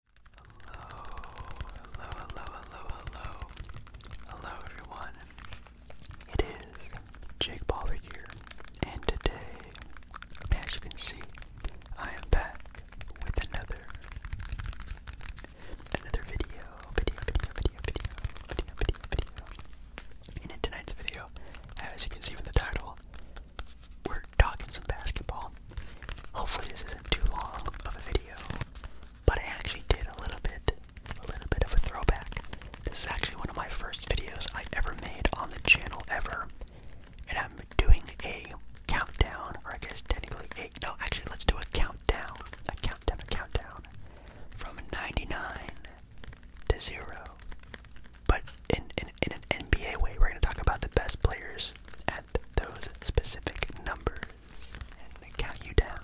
Hello, hello, hello, hello, hello. Hello everyone. It is Jake Pollard here, and today, as you can see, I am back with another another video, video, video, video, video, video, video, video. And in tonight's video, as you can see from the title, we're talking some basketball. Hopefully this isn't too long of a video, but I actually did a little bit, a little bit of a throwback. This is actually one of my first videos I ever made on the channel ever, and I'm doing a countdown, or I guess technically eight. no, actually let's do a countdown, a countdown, a countdown, from 99 to 0. But in, in an NBA way, we're going to talk about the best players fingers at those specific numbers and they count you down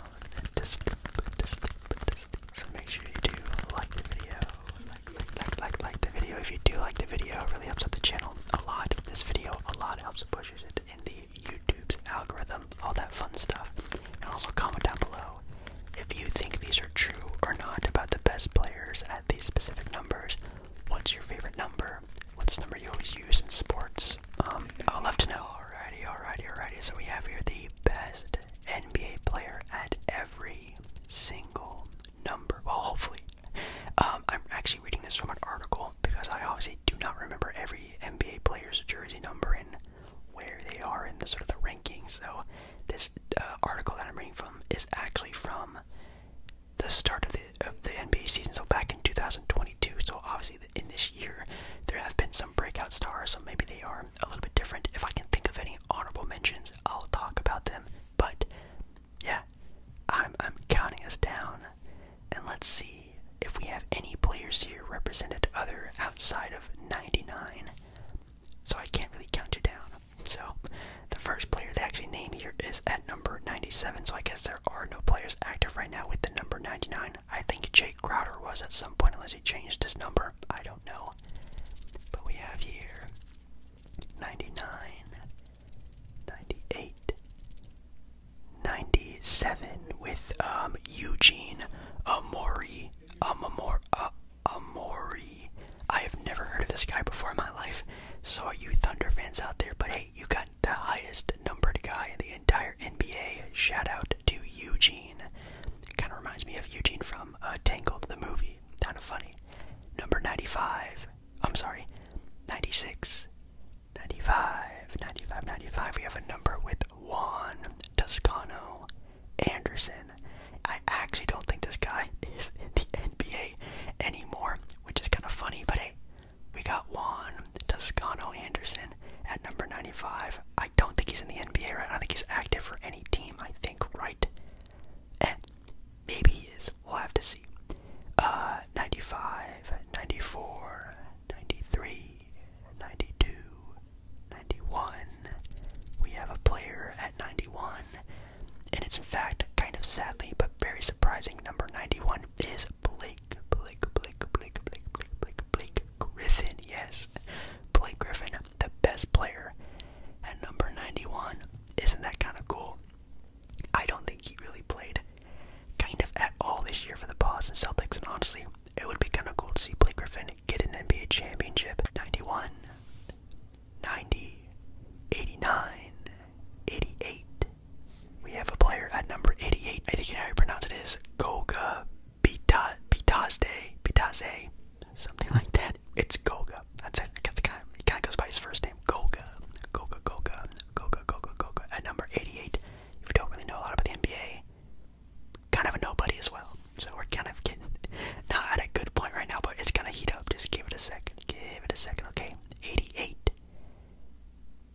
to sleep, to So make sure you do like the video, like, like, like, like, like the video. If you do like the video, it really helps out the channel a lot. This video a lot helps pushes it in the YouTube's algorithm, all that fun stuff. And also comment down below if you think these are true or not about the best players at these specific numbers. What's your favorite number? What's the number you always use in sports? Um, I'll love to know. Alrighty, alrighty, alrighty. So we have here the best NBA player at every single number. Well, hopefully. Um, I'm actually reading this from an article because I obviously do not remember every NBA player's jersey number and where they are in the sort of the rankings. So this uh, article that I'm reading from is actually from the start of the of the NBA season, so back in 2022. So obviously, in this year, there have been some breakout stars. So maybe they are a little bit different. If I can think of any honorable mentions, I'll talk about them. But yeah, I'm I'm counting us down, and let's see if we have any players here represented other outside of 99. So I can't really count you down. So the first player they actually name here is at number 97. So I guess there are no players active right now with the number 99. I think Jake Crowder was at some point, unless he changed his number. I don't know. But we have here 99, 97 with um, Eugene Amori. Amor, uh, Amori. I have never heard of this guy before in my life. So, you Thunder fans out there? But hey you got the highest numbered guy in the entire NBA. Shout out to Eugene. Kind of reminds me of Eugene from uh, Tangled, the movie. Kind of funny. Number 95. I'm sorry, 96. 95, 95, 95. We have a number with Juan Toscano Anderson. I actually don't think this guy is in the NBA anymore, which is kind of funny, but hey, we got Juan Toscano Anderson at number 95. I don't think he's in the NBA right I don't think he's active for any team, I think, right? maybe he is. We'll have to see. Uh, 95, 94, 93, 92, 91. We have a player at 91. And it's in fact kind of sadly but very surprising number 91 is Blake, Blake, Blake, Blake, Blake, Blake, Blake, Griffin. Yes, Blake Griffin, the best player at number 91. Isn't that kind of cool? I don't think he really played kind of at all this year for the Boston Celtics, and honestly, it would be kind of cool to see Blake Griffin get an NBA championship. 91, 90, 88, we have a player at number 88. I think you know how you pronounce it is Goga Bita Bitazde Bitazde, something like that. It's Goga. That's it. it kind of goes by his first name. Goga. Goga. Goga. Goga. Goga. Goga. At number 88. If you don't really know a lot about the NBA, kind of a nobody as well. So we're kind of getting not at a good point right now, but it's gonna heat up. Just give it a second. Give it a second, okay? 88.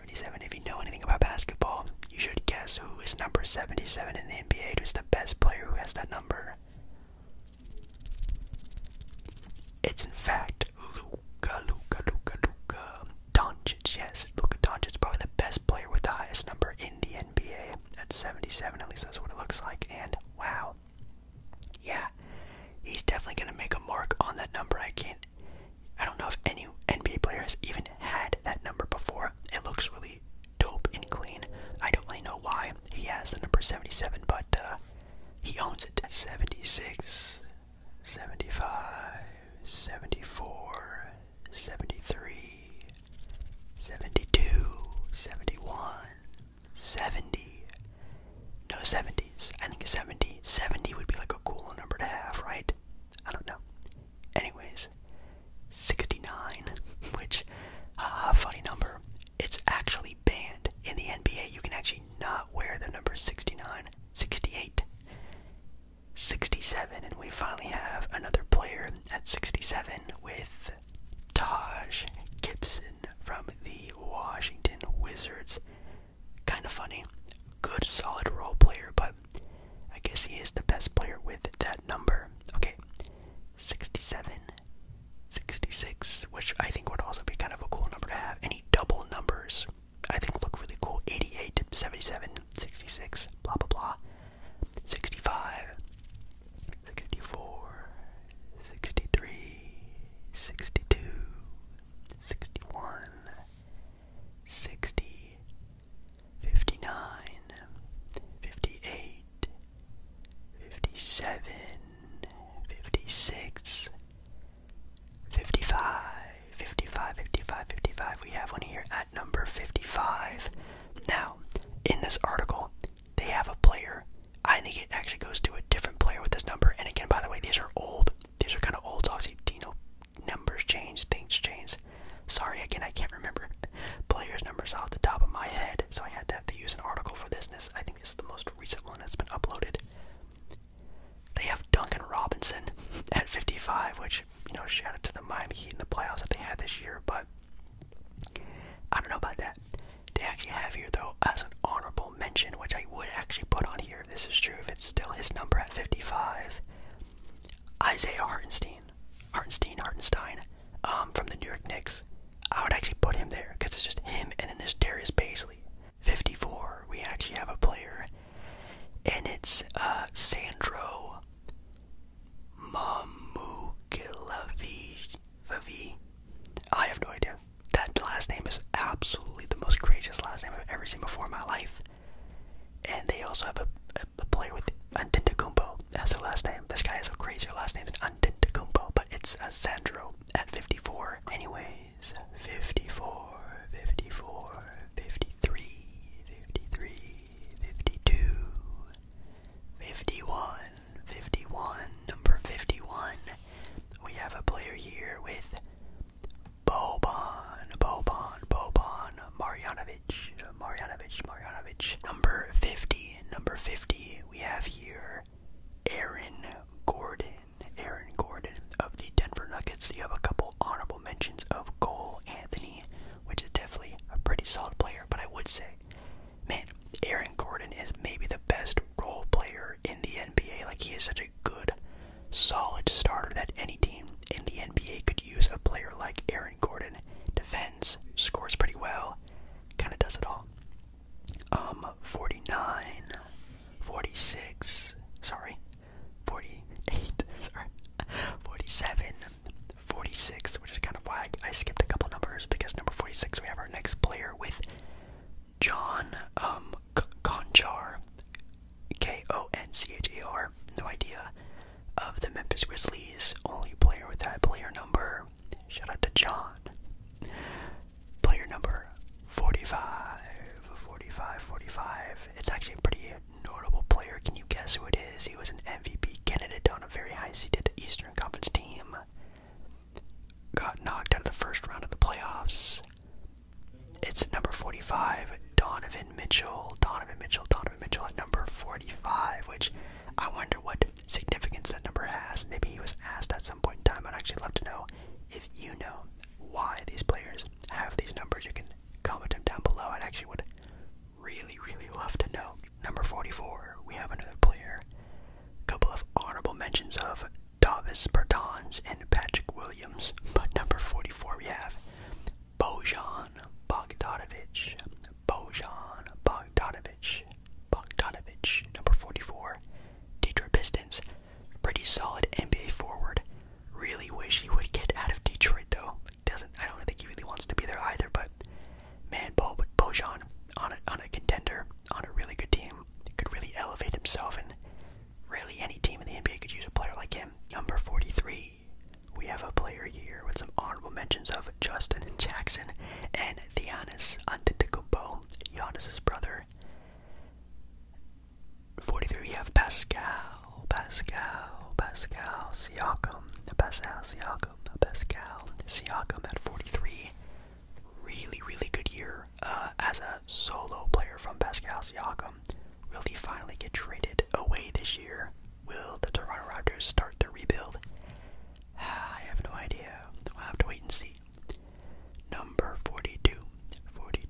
77. If you know anything about basketball, you should guess who is number 77 in the NBA. Who's the best player who has that number? It's in fact Luca, Luca, Luca, Luca, Doncic. Yes, Luka Doncic is probably the best player with the highest number in the NBA at 77. At least that's what it looks like. And wow, yeah, he's definitely gonna make a mark on that number. I can't I don't know if any NBA player has even had that number before. It looks really dope and clean. I don't really know why he has the number 77, but uh, he owns it. 76, 75, 74, 73, 72, 71, 70. No 70s. I think 70. 70 would be like a cool number to have, right? I don't know. Anyways, 69, which, haha, funny number. It's actually banned. In the NBA, you can actually not wear the number 69, 67, and we finally have another player at 67 with Taj Gibson from the Washington Wizards. Kind of funny. Good solid role player, but. I guess he is the best player with that number. Okay, 67, 66, which I think would also be kind of a cool number to have. Any double numbers I think look really cool. 88, 77, 66, blah blah blah. 65, 63, 62, 61, 60, 59 58 57 56 55 55 55 55 we have one here at number 55 now in this article they have a player i think it actually goes to a different player with this number and again by the way these are old these are kind of old so obviously dino numbers change, things change. Sorry again, I can't remember players' numbers off the top of my head, so I had to have to use an article for this. I think, this is the most recent one that's been uploaded. They have Duncan Robinson at 55, which you know, shout out to the Miami Heat and the playoffs that they had this year. But I don't know about that. They actually have here though as an honorable mention, which I would actually put on here this is true. If it's still his number at 55, Isaiah Hartenstein, Hartenstein, Hartenstein, um, from the New York Knicks. I would actually put him there because it's just him, and then there's Darius Baisley. 54, we actually have a player, and it's uh, Sandro Mamukilavi. I have no idea. That last name is absolutely the most craziest last name I've ever seen before in my life. And they also have a, a player with Antetokounmpo as a last name. This guy has a crazy. last name than Antetokounmpo, but it's a Sandro at 54. Anyways, 54, 54, 53, 53, 52, 51, 51, number 51. We have a player here with Boban, Boban, Boban, Marjanovic, Marjanovic, Marjanovic. Number 50, number 50, we have here Aaron Gordon, Aaron Gordon of the Denver Nuggets. You have a couple honorable mentions of Cole Anthony, which is definitely a pretty solid player, but I would say, man, Aaron Gordon is maybe the best role player in the NBA. Like, he is such a good, solid starter that any team in the NBA could use a player like Aaron Gordon. Defends, scores pretty well, kind of does it all. Um, 49, 46, sorry, 48, sorry, 47, 46, which is kind of why I skipped a couple numbers because number 46 we have our next player with John um, Conchar. K O N C H E R, no idea, of the Memphis Grizzlies. Only player with that player number. Shout out to John. Player number 45. 45, 45. It's actually a pretty notable player. Can you guess who it is? He was an MVP candidate on a very high seeded Eastern Conference team. Got knocked out of the first round of the playoffs. It's number 45, Donovan Donovan Mitchell, Donovan Mitchell, Donovan Mitchell at number 45, which I wonder what significance that number has. Maybe he was asked at some point in time. I'd actually love to know if you know why these players have these numbers. You can comment them down below. I would actually would really, really love to know. Number 44, we have another player. couple of honorable mentions of Davis Bertans and Patrick Williams, but number 44 we have Bojan Bogdanovic, Bojan Bogdanovic, Bogdanovic, number 44, Detroit Pistons. Pretty solid NBA forward. Really wish he would get out of Detroit though. Doesn't I don't think he really wants to be there either. But man, Bo Bojan on a on a contender on a really good team could really elevate himself and really any team in the NBA could use a player like him. Number 43 we have a player here with some honorable mentions of Justin Jackson and Giannis Antetokounmpo, Giannis's brother. 43, we have Pascal, Pascal, Pascal Siakam, Pascal Siakam, Pascal Siakam at 43. Really, really good year uh, as a solo player from Pascal Siakam. Will he finally get traded away this year? Will the Toronto Raptors start their rebuild? I have no idea. We'll have to wait and see. Number 42, 42,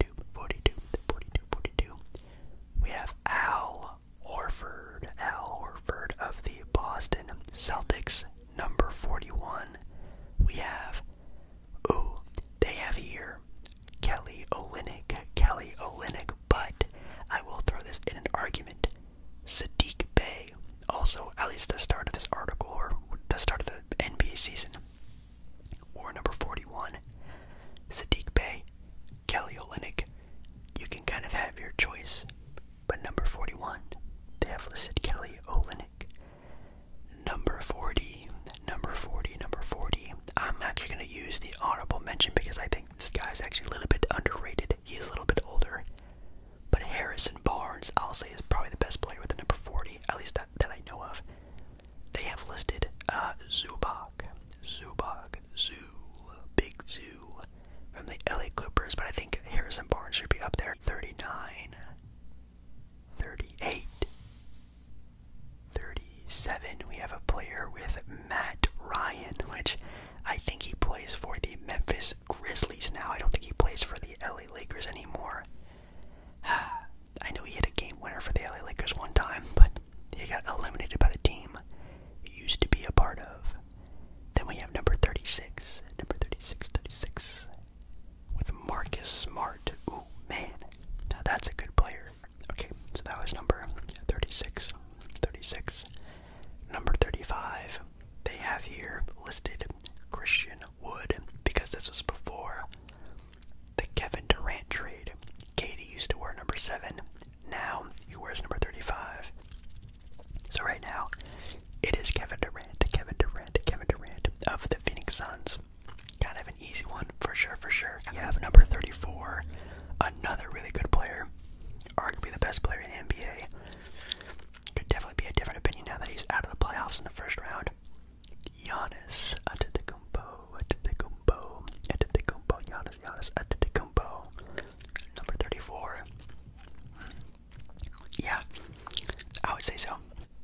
We have Al Horford, Al Horford of the Boston Celtics. Number 41. We have, ooh, they have here Kelly Olynyk. Kelly Olynyk but I will throw this in an argument. Sadiq Bey, also at least the start of this article or the start of the NBA season, or number 41. Sadiq Bey, Kelly Olynyk. You can kind of have your choice, but number 41, they have listed Kelly Olynyk. Number 40, number 40, number 40. I'm actually going to use the honorable mention because I think this guy's actually a little bit underrated. He's a little bit older. But Harrison Barnes, I'll say, is probably the best player with the number 40, at least that, that I know of. They have listed uh, Zubac, Zubac, Zoo, Big Zoo from the LA Clippers, but I think Harrison Barnes should be up there. 39, 37. We have a player with Matt Ryan, which I think he plays for the Memphis Grizzlies now. I don't think he plays for the LA Lakers anymore. I know he had a game winner for the LA Lakers one time, but he got eliminated by the team he used to be a part of. Then we have number 36, number 36, 36, with Marcus Smart. Ooh, man, now that's a good player. Okay, so that was number 36. 36. Number 35, they have here listed Christian Wood because this was before the Kevin Durant trade. Katie used to wear number 7. Now he wears number 35. So right now, it is Kevin Durant, Kevin Durant, Kevin Durant of the Phoenix Suns. Kind of an easy one for sure, for sure. You have number 34, another really good player arguably the best player in the NBA. Could definitely be a different opinion now that he's out of the playoffs in the first round. Giannis Antetokounmpo, Antetokounmpo, Antetokounmpo, Giannis, Giannis Antetokounmpo, number 34. Yeah, I would say so.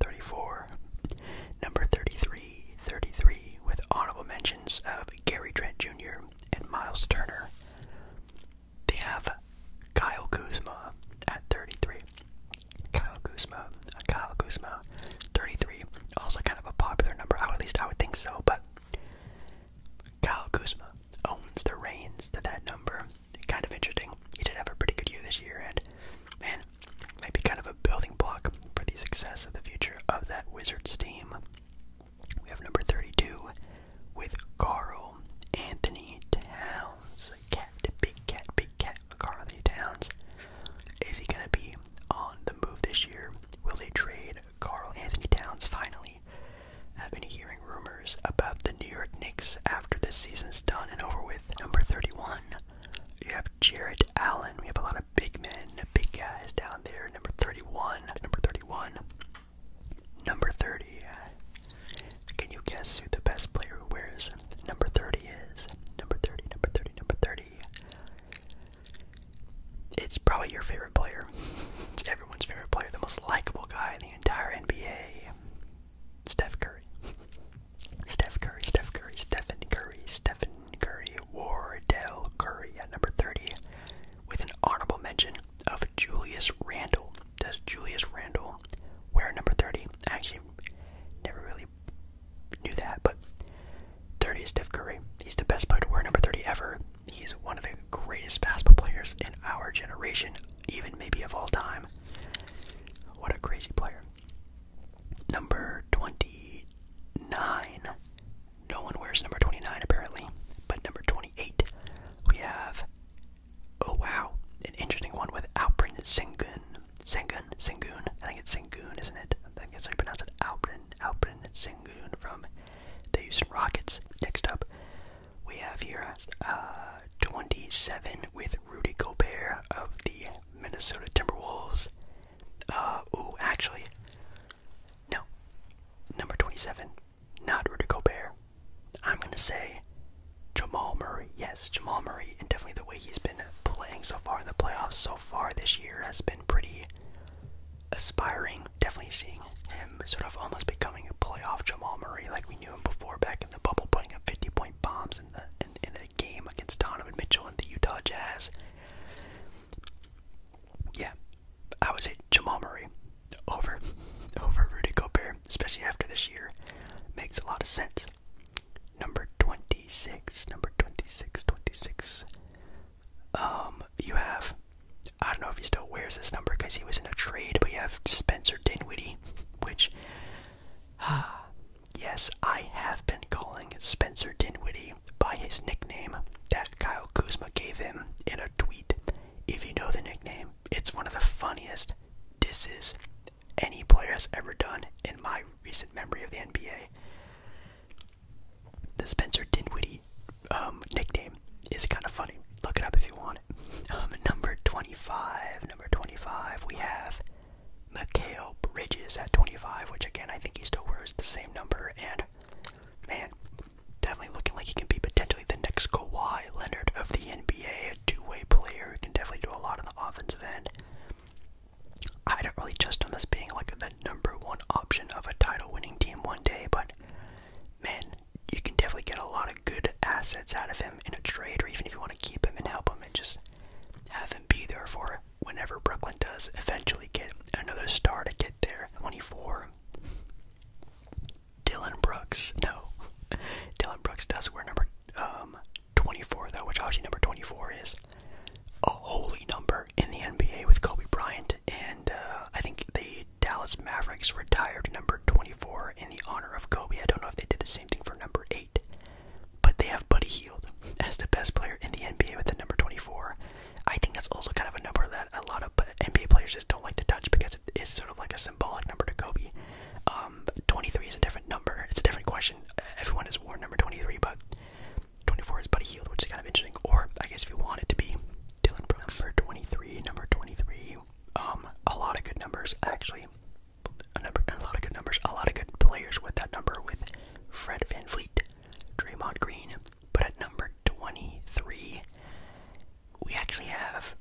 34, number 33, 33, with honorable mentions of Gary Trent Jr. and Miles Turner. They have Kyle Kuzma at 33. Kyle Kuzma, uh, Kyle Kuzma, 33. Also kind of a popular number. at least I would think so. But Kyle Kuzma owns the reins to that number. Kind of interesting. He did have a pretty good year this year, and man, might be kind of a building block for the success of the future of that Wizards team. We have number 32 with Carl Anthony Towns. Cat, big cat, big cat, Carl Anthony Towns. Is he going to be on the move this year? Will they trade Carl Anthony Towns finally? I've been hearing rumors about the New York Knicks after the season's done and over with. Number 31, you have Jarrett Allen. We have a lot of big men, big guys down there. Number 31, number 31, Number 30. Can you guess who the best player who wears number 30 is? Number 30, number 30, number 30. It's probably your favorite player. It's everyone's favorite player, the most likable guy in the entire NBA. Steph Curry. Steph Curry, Steph Curry, Stephen Curry, Stephen Curry, Wardell Curry at number 30 with an honorable mention of Julius Randall, Does Julius Randall wear number 30? I actually never really knew that, but 30 is Steph Curry. He's the best player to wear number 30 ever. He's one of the greatest basketball players in our generation, even maybe of all time. What a crazy player. Number 29. No one wears number 29 apparently, but number 28 we have. Oh wow, an interesting one with Alprin Sengun. Sengun, Sengun. I think it's Sengun, isn't it? I think that's how you pronounce it. Alprin, Alprin Sengun from the Houston Rockets. Next up, we have here uh, 27 with Rudy Gobert of the Minnesota Timberwolves. Uh, oh, actually, no. Number 27, not Rudy Gobert. I'm going to say Jamal Murray. Yes, Jamal Murray, and definitely the way he's been playing so far in the playoffs so far this year has been pretty aspiring. Definitely seeing him sort of almost becoming a playoff Jamal Murray like we knew him before back in the bubble, putting up 50 point bombs in the in, in a game against Donovan Mitchell and the Utah Jazz yeah, I would say Jamal Murray over over Rudy Gobert, especially after this year, makes a lot of sense. Number twenty six, number 26, 26. Um, you have I don't know if he still wears this number because he was in a trade, but you have Spencer Dinwiddie, which ah, yes, I have been calling Spencer Dinwiddie by his nickname that Kyle Kuzma gave him in a tweet if you know the nickname, it's one of the funniest disses any player has ever done in my recent memory of the NBA. The Spencer Dinwiddie um, nickname is kind of funny. Look it up if you want. Um, number 25, number 25, we have Mikhail Bridges at 25, which again, I think he still wears the same number. And man, definitely looking like he can be potentially the next Kawhi Leonard of the NBA, a two-way player who can definitely do a lot on the offensive end. I don't really trust on this being like the number one option of a title-winning team one day, but man, you can definitely get a lot of good assets out of him in a trade, or even if you want to keep him and help him and just have him be there for whenever Brooklyn does eventually get another star to get there. 24. Dylan Brooks. No, Dylan Brooks does wear number um, 24 though, which obviously number 24 is a holy number in the NBA with Kobe Bryant, and uh, I think the Dallas Mavericks retired number 24 in the honor of Kobe. I don't know if they did the same thing for number 8, but they have Buddy Heald as the best player in the NBA with the number 24. I think that's also kind of a number that a lot of NBA players just don't like to touch because it is sort of like a symbolic number to Kobe. Um, 23 is a different number. It's a different question. Everyone has worn number 23, but 24 is Buddy Heald, which is kind of interesting. Or I guess if you want it to be Dylan Brooks. 23, number 23. Um, a lot of good numbers actually. A, number, a lot of good numbers. A lot of good players with that number. With Fred Van Fleet, Draymond Green, but at number 23, we actually have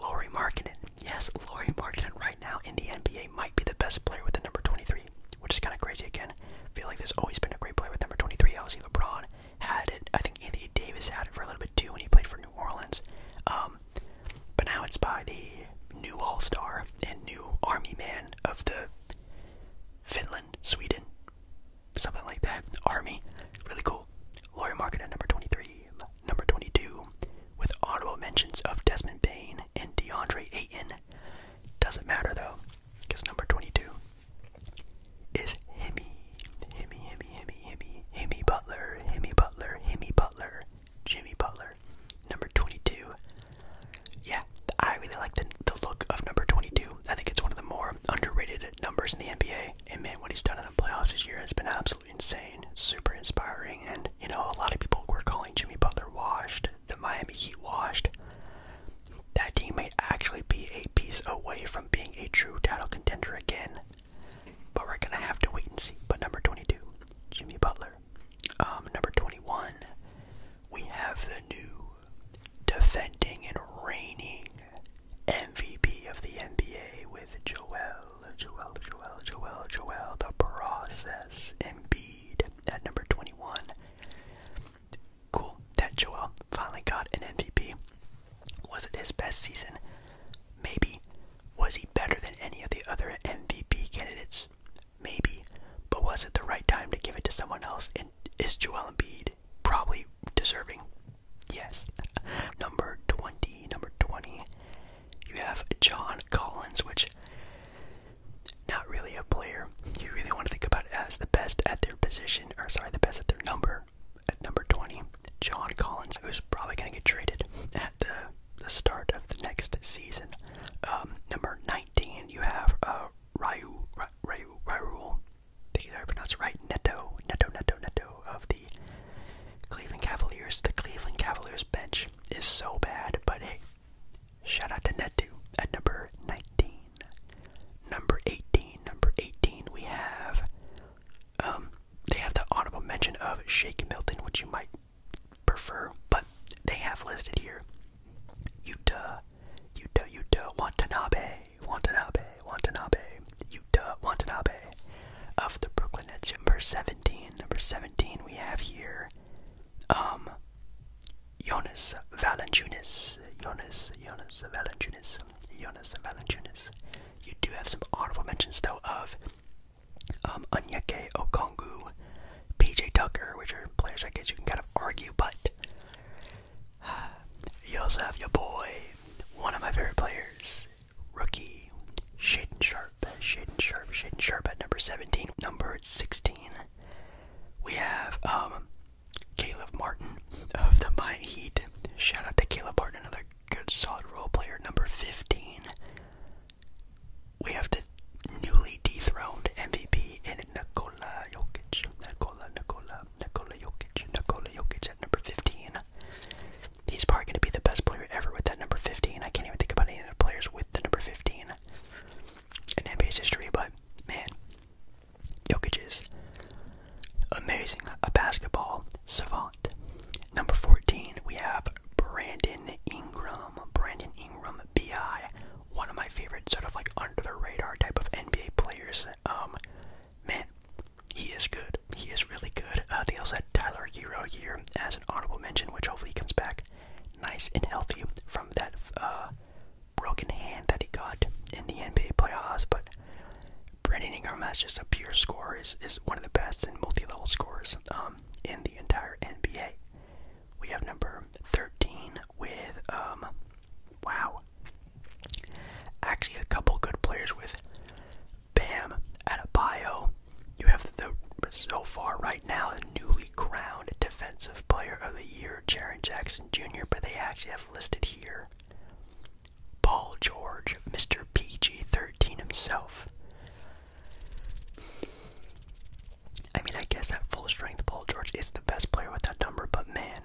Lori Markkinen. Yes, Lori Markkinen right now in the NBA might be the best player with the number 23, which is kind of crazy again. feel like there's always been a great player with number 23. Obviously, LeBron had it. I think Anthony Davis had it for a little bit too when he played for New Orleans. Um, but now it's by the new All Star and new Army man of the Finland, Sweden, something like that. Army, really cool. Laurie Market at number 23. Number 22, with honorable mentions of Desmond Bain and DeAndre Ayton. Doesn't matter though, because number 22 is Hemi, Hemi, Hemi, Hemi, Hemi, Hemi Butler, Hemi Butler, Hemi Butler, Jimmy Butler. Number 22. Yeah, I really like the, the look of number 22. I think it's one of the more underrated numbers in the NBA. And man, what he's done in the playoffs this year has been absolutely insane, super inspiring. And you know, a lot of people were calling Jimmy Butler washed, the Miami Heat washed. That team may actually be a piece away from being a true title contender again. But we're gonna have to wait and see. But number 22, Jimmy Butler. Um, number 21, we have the new defending and reigning MVP of the NBA with Joel, Joel, Joel, Joel, Joel, the process, Embiid at number 21. Cool that Joel finally got an MVP. Was it his best season? Maybe. Was he better than any of the other MVP candidates? Maybe. But was it the right time to give it to someone else? And is Joel Embiid probably deserving Yes. number 20, number 20. You have John Collins, which not really a player. You really want to think about as the best at their position, or sorry, the best at their number. At number 20, John Collins, who's probably going to get traded at the, the start of the next season. Um, number 19, you have uh, Ryu, Ryu, I think pronounced right, Neto, Neto, Neto, Neto of the Cleveland Cavaliers. The Cleveland Cavaliers bench is so bad, but hey, shout out to Netto at number 19. Number 18, number 18, we have, um, they have the honorable mention of Shake Milton, which you might prefer, but they have listed here Utah, Utah, Utah, Watanabe, Watanabe, Watanabe, Utah Watanabe of the Brooklyn Nets. Number 17, number 17 we have here, um, Jonas Valanciunas, Jonas, Jonas Valanciunas, Jonas Valanciunas. You do have some honorable mentions though of um, Onyeke Okongu, PJ Tucker, which are players I guess you can kind of argue, but you also have your boy one of my favorite players, rookie Shaden Sharp. Shaden Sharp. Shaden Sharp at number 17. Number 16, we have um, Caleb Martin of the Miami Heat. Shout out to Caleb Martin, another good solid role player. Number 15, we have the newly dethroned MVP in Nikola Jokic. Nikola, Nikola, Nikola Jokic. Nikola Jokic at number 15. He's probably going to be the best player ever with that number 15. I can't even think about any other players with the number 15 in NBA history, but man, Jokic is amazing. A basketball savant. Number 14, we have Brandon Ingram. Brandon Ingram, BI. One of my favorite, sort of like under the radar type of NBA players. Um, man, he is good. He is really good. Uh, they also had Tyler Hero here as an honorable mention, which hopefully comes back nice and healthy from that uh, broken hand that he got in the NBA playoffs. But Brandon Ingram as just a pure scorer is, is one of the best and multi-level scorers um, in the entire NBA. We have number 13 with, um, wow, Actually, a couple good players with Bam Adebayo. You have the so far right now the newly crowned Defensive Player of the Year, Jaren Jackson Jr. But they actually have listed here Paul George, Mr. PG13 himself. I mean, I guess at full strength, Paul George is the best player with that number, but man,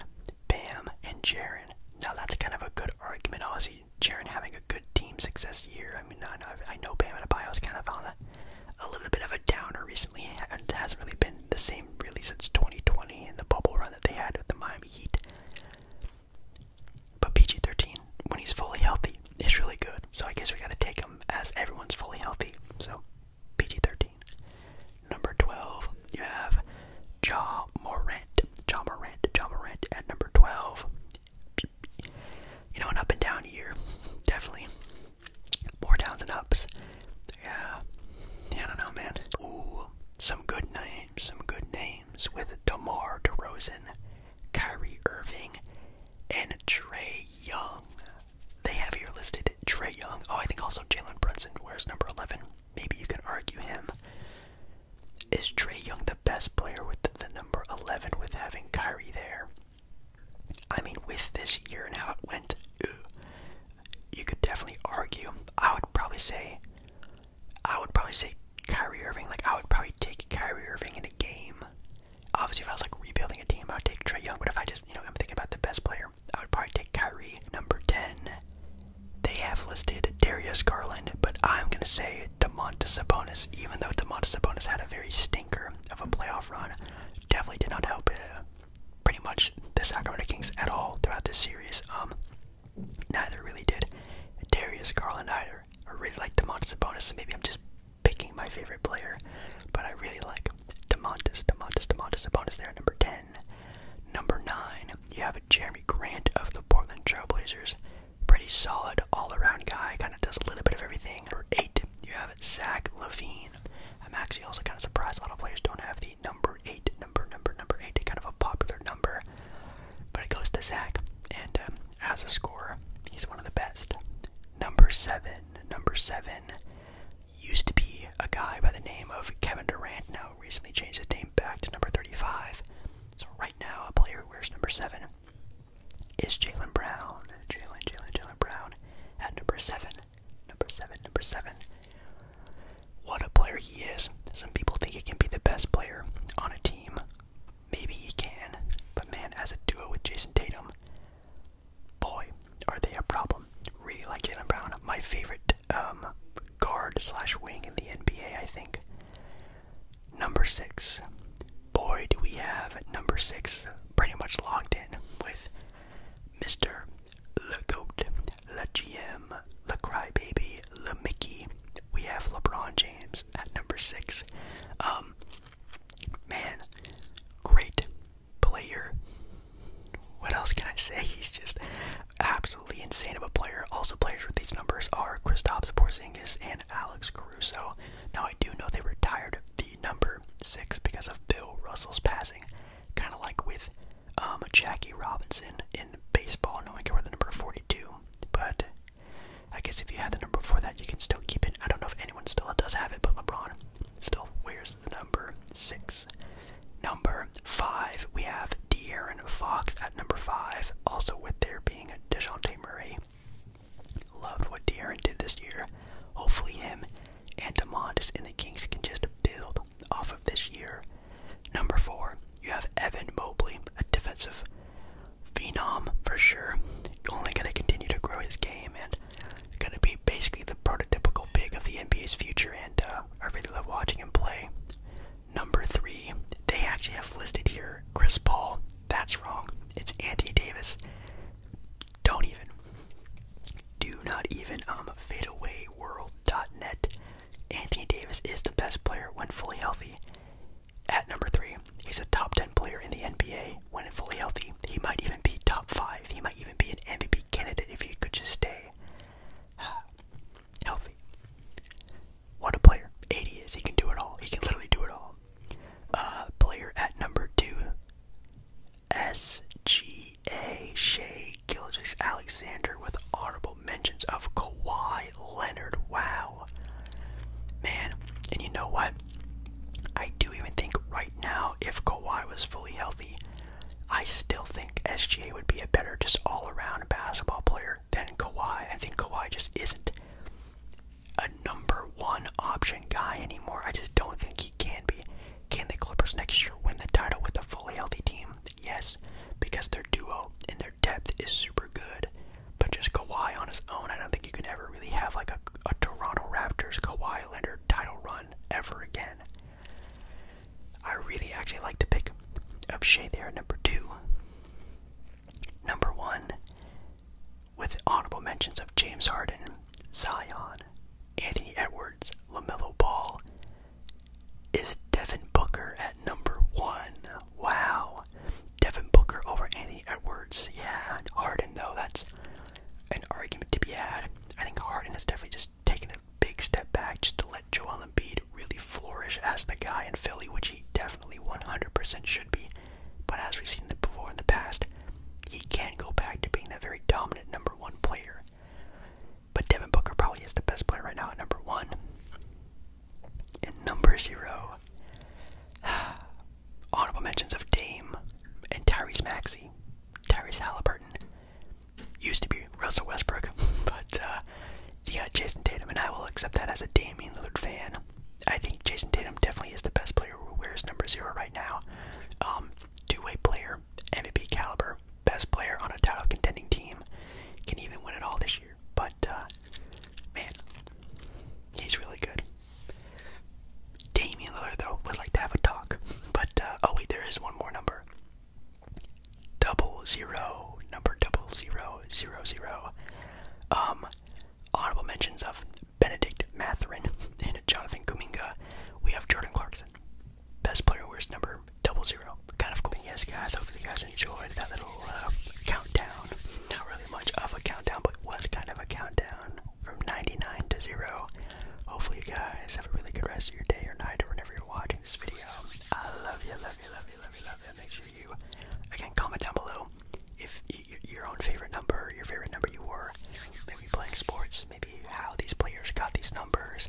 Bam and Jaren. Now that's kind of a good argument. Aussie. Jaron having a good team success year. I mean, I know, I know Bam Adebayo's kind of on a, little bit of a downer recently, and hasn't really been the same really since 2020 and the bubble run that they had with the Miami Heat. But PG-13, when he's fully healthy, is really good. So I guess we gotta take him as everyone's fully healthy. So PG-13. Number 12, you have Ja Morant. Ja Morant. Ja Morant at number 12. You know, an up and down year. Definitely. More downs and ups. Yeah. I don't know, man. Ooh, some good names. Some good names with DeMar DeRozan, Kyrie Irving, and Trey Young. They have here listed Trey Young. Oh, I think also Jalen Brunson wears number 11. Maybe you can argue him. Is Trey Young the best player with the, number 11 with having Kyrie there? I mean, with this year and how it went, you could definitely argue. I would probably say, I would probably say Kyrie Irving. Like, I would probably take Kyrie Irving in a game. Obviously, if I was like rebuilding a team, I would take Trey Young. But if I just, you know, I'm thinking about the best player, I would probably take Kyrie. Number 10, they have listed Darius Garland, but I'm gonna say DeMontis Sabonis, even though DeMontis Sabonis had a very stinker of a playoff run, definitely did not help uh, pretty much the Sacramento Kings at all throughout this series. Um, neither really did Darius Garland either. I really like DeMontis Sabonis, so maybe I'm just picking my favorite player, but I really like DeMontis, DeMontis, DeMontis Sabonis there, number 10. Number 9, you have Jeremy Grant of the Portland Trailblazers. Pretty solid all around guy, kind of does a little bit of everything. Number eight, you have Zach Levine. I'm actually also kind of surprised a lot of players don't have the number eight number, number, number eight, kind of a popular number. But it goes to Zach, and um, as a scorer, he's one of the best. Number seven, number seven used to be a guy by the name of Kevin Durant, now recently changed his name back to number 35. So now, a player who wears number seven is Jalen Brown. Jalen, Jalen, Jalen Brown at number seven. Number seven, number seven. What a player he is. Some people think he can be the best player on a team. Maybe he can, but man, as a duo with Jason Tatum, boy, are they a problem. Really like Jalen Brown. My favorite um, guard slash wing in the NBA, I think. Number six. Boy, do we have number six pretty much locked in with Mr. Le Goat, Le GM, Le Crybaby, Le Mickey. We have LeBron James at number six. Um, man, great player. What else can I say? He's just absolutely insane of a player. Also, players with these numbers are Kristaps Porzingis and Alex Caruso. Now, I do know they retired the number six because of Bill Russell's passing, kind of like with um, Jackie Robinson in baseball. No one can wear the number 42, but I guess if you had the number before that, you can still keep it. I don't know if anyone still does have it, but LeBron still wears the number six. Number five, we have with De'Aaron Fox at number five, also with there being a DeJounte Murray. Loved what De'Aaron did this year. Hopefully him and DeMondis and the Kings can just build off of this year. Number four, you have Evan Mobley, a defensive phenom for sure. Only going to continue to grow his game and going to be basically the prototypical big of the NBA's future. And uh, I really love watching him play. Number three, they actually have listed here Chris Paul. That's wrong. It's Anthony Davis. Don't even. Do not even um fadeawayworld.net. Anthony Davis is the best player when fully healthy. At number three, he's a top 10 player in the NBA when fully healthy. He might even be top five. He might even be an MVP candidate if he could just stay. Ah healthy. What a player. 80 is. He can do it all. He can literally do it all. Uh, player at number two, SGA Shay Gilgis Alexander with honorable mentions of Kawhi Leonard. Wow. Man, and you know what? I do even think right now, if Kawhi was fully healthy, I still think SGA would be a better just all around basketball player than Kawhi. I think Kawhi just isn't a number one option guy anymore. I just don't think he can be. Can the Clippers next year win the title with a fully healthy team? Yes, because their duo and their depth is super good. But just Kawhi on his own, I don't think you can ever really have like a, a Toronto Raptors Kawhi Leonard title run ever again. I really actually like the pick of Shea there, number two. Number one, with honorable mentions of James Harden, Zion, Anthony Edwards, LaMelo Ball, is Devin Booker at number one. Wow. Devin Booker over Anthony Edwards. Yeah, Harden, though, that's an argument to be had. I think Harden has definitely just taken a big step back just to let Joel Embiid really flourish as the guy in Philly, which he definitely 100% should be. But as we've seen before in the past, he can go back to being that very dominant number one player. But Devin Booker probably is the best player right now at number one. And number zero, honorable mentions of Dame and Tyrese Maxey, Tyrese Halliburton. Used to be Russell Westbrook, but uh, yeah, Jason Tatum, and I will accept that as a Damian Lillard fan. I think Jason Tatum definitely is the best player who wears number zero right now. Um, two-way player, MVP caliber, best player on a title contending team, can even win it all this year. But uh, man, he's really good. Damian Lillard though would like to have a talk. But uh, oh wait, there is one more number. Double zero, number double zero zero zero. Um, honorable mentions of Benedict Matherin and Jonathan Kuminga. We have Jordan Clarkson, best player, worst number, double zero. Kind of cool. yes, guys, hopefully you guys enjoyed that little uh, countdown. Not really much of a countdown, but was kind of a countdown from 99 to zero. Hopefully, you guys have a really good rest of your day or night or whenever you're watching this video. I love you, love you, love you, love you, love you. Make sure Again, comment down below if your own favorite number, your favorite number you were, maybe playing sports, maybe how these players got these numbers.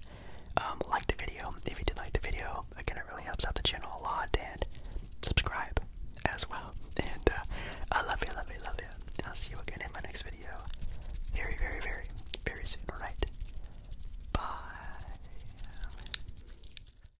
Um, like the video if you did like the video. Again, it really helps out the channel a lot, and subscribe as well. And uh, I love you, love you, love you. I'll see you again in my next video, very, very, very, very soon. All right, bye.